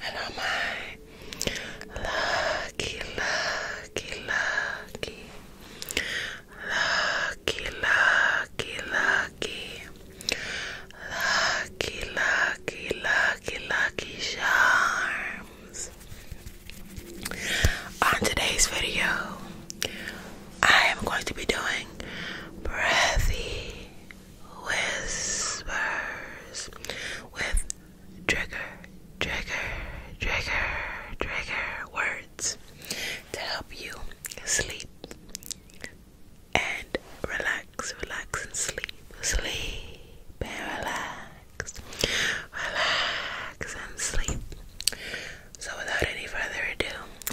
Hello, my lucky, lucky, lucky, lucky, lucky, lucky, lucky, lucky, lucky, lucky charms. On today's video, I am going to be doing breathy whispers with trigger, trigger, trigger, trigger words to help you sleep and relax, relax, and sleep, sleep, relax, relax, and sleep. So without any further ado,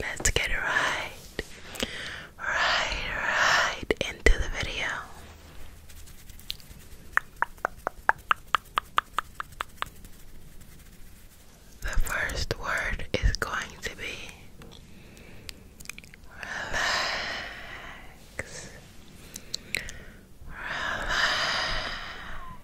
let's get right, right, right into the video. The first word is going to be relax. Relax.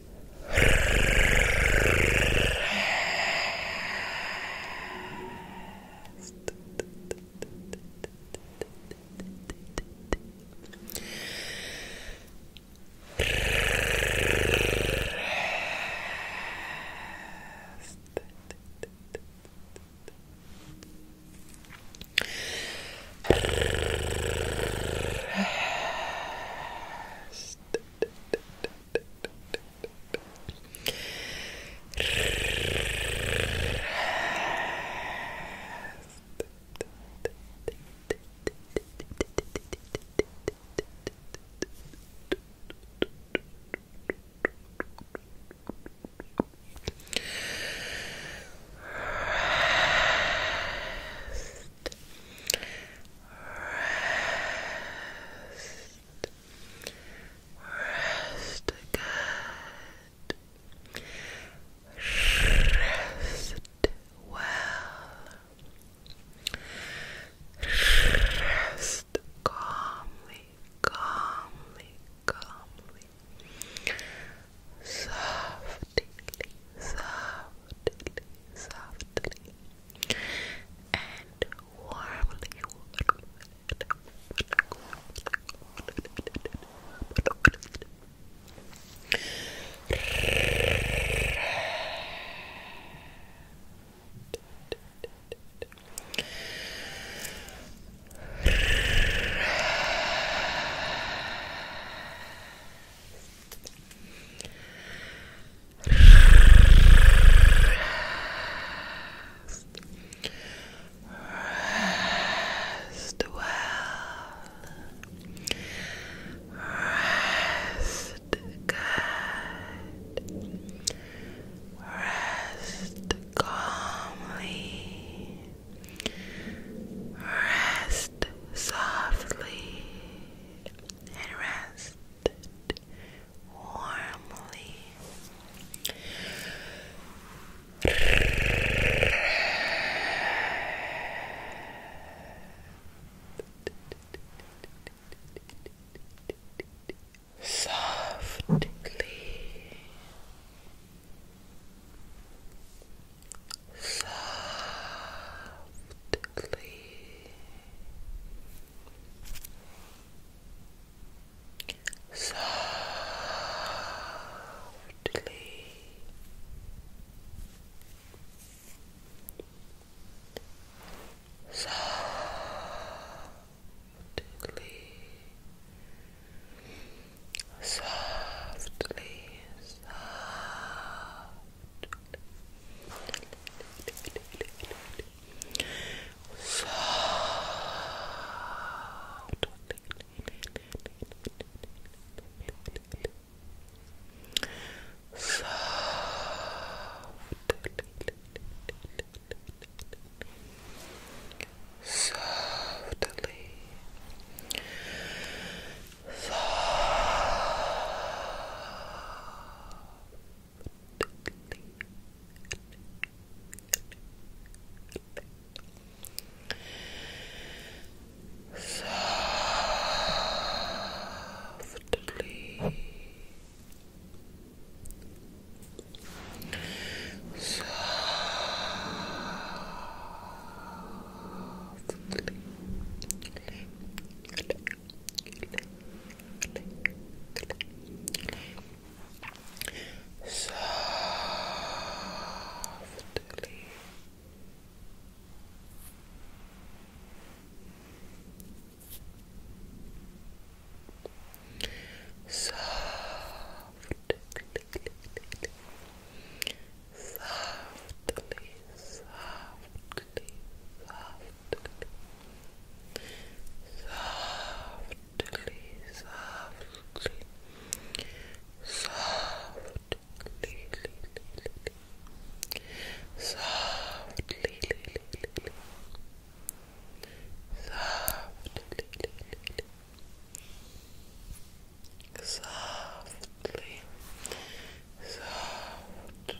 Rest. Rest. Rest. Rest good. Rest well. Rest calmly, calmly, calmly. Softly, softly softly, softly, and warmly, warmly. Rest, Rest. well. Rest good. Rest calmly. Rest softly. And rest warmly. Softly, softly, softly softly softly softly so so softly Softly. Softly. Softly. Softly, softly, softly, softly, softly, softly, softly, softly, softly, softly, softly,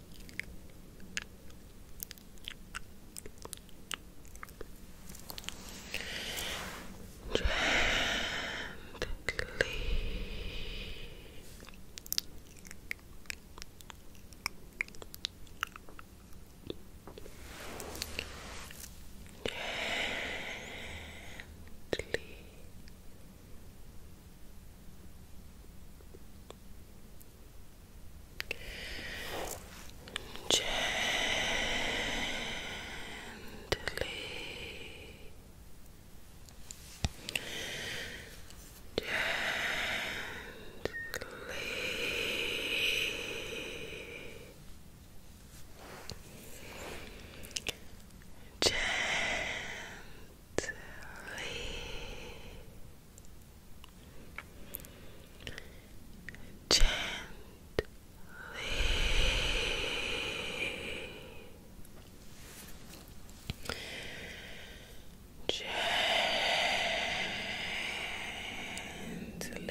Gently. Gently. Gently. Gently. Gently. Sleep. Gently. Gently.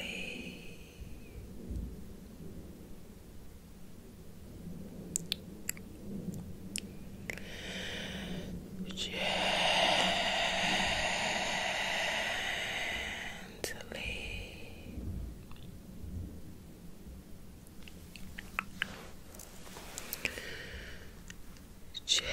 Gently. Gently.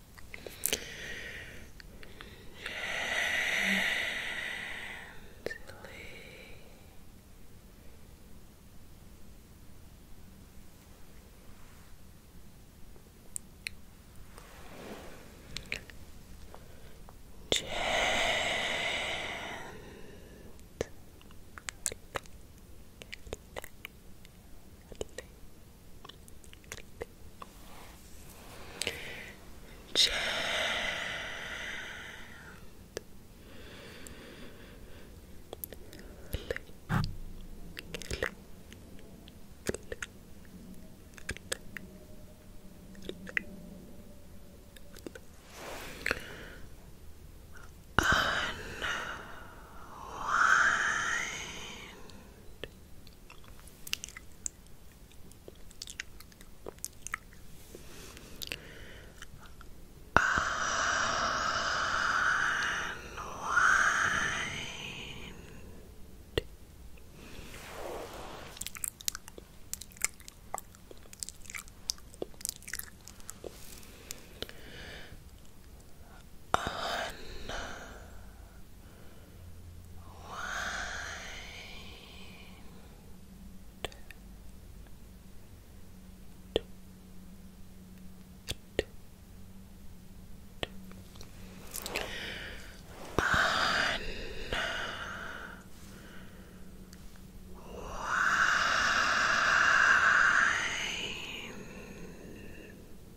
Gently. Gently. Chant. Unwind. Unwind. Unwind on wind on wind Unwind.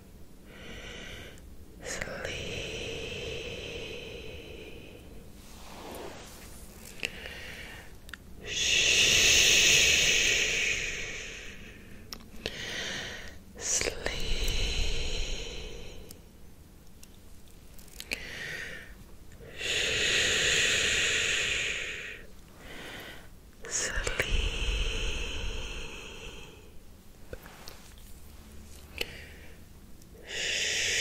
sleep. Shh. Sleep. Shh sleep. Shh. Shh.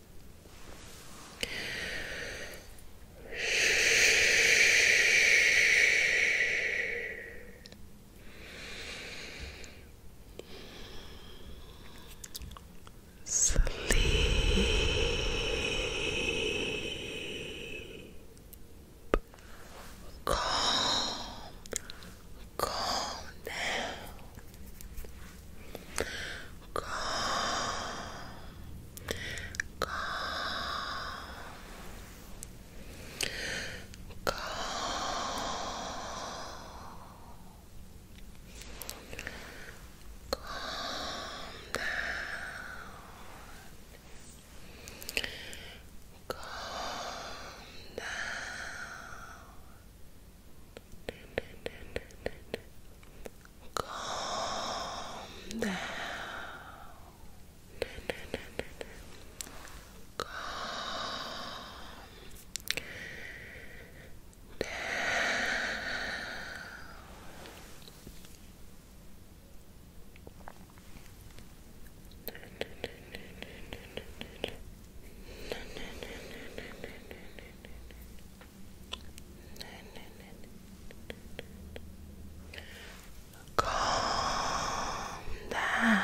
Sleep. Calm. Calm down calm, calm, calm. Calm down. Calm down. Calm down. Calm down. Calm Calm down. Calm down.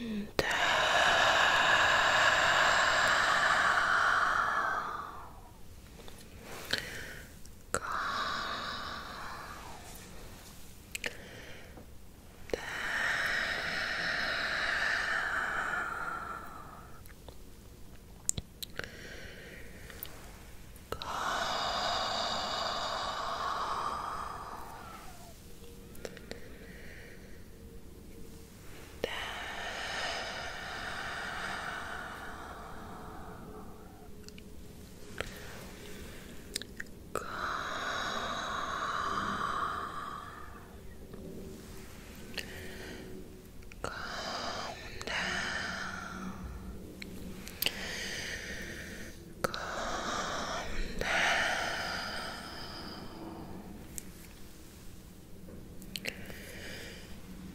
And down. Calm. Down. Calm. Down. Calm. Calm down. Calm down.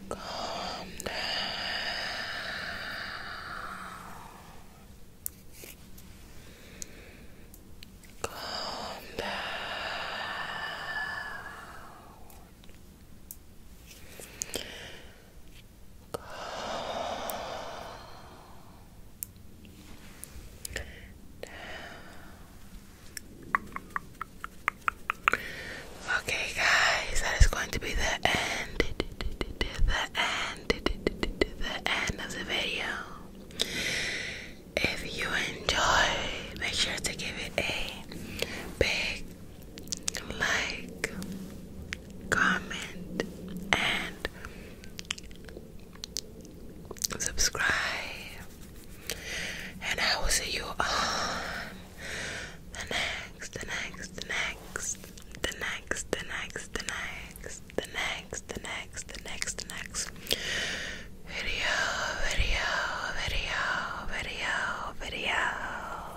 Calm down. Calm down. Calm Okay, guys, that is going to be the end, the end, the end of the video. If you enjoy, make sure to give it a big like, comment, and subscribe, and I will see you on the next, next, next, the next, the next, the next, the next, the next, the next, next video, video, video, video, video.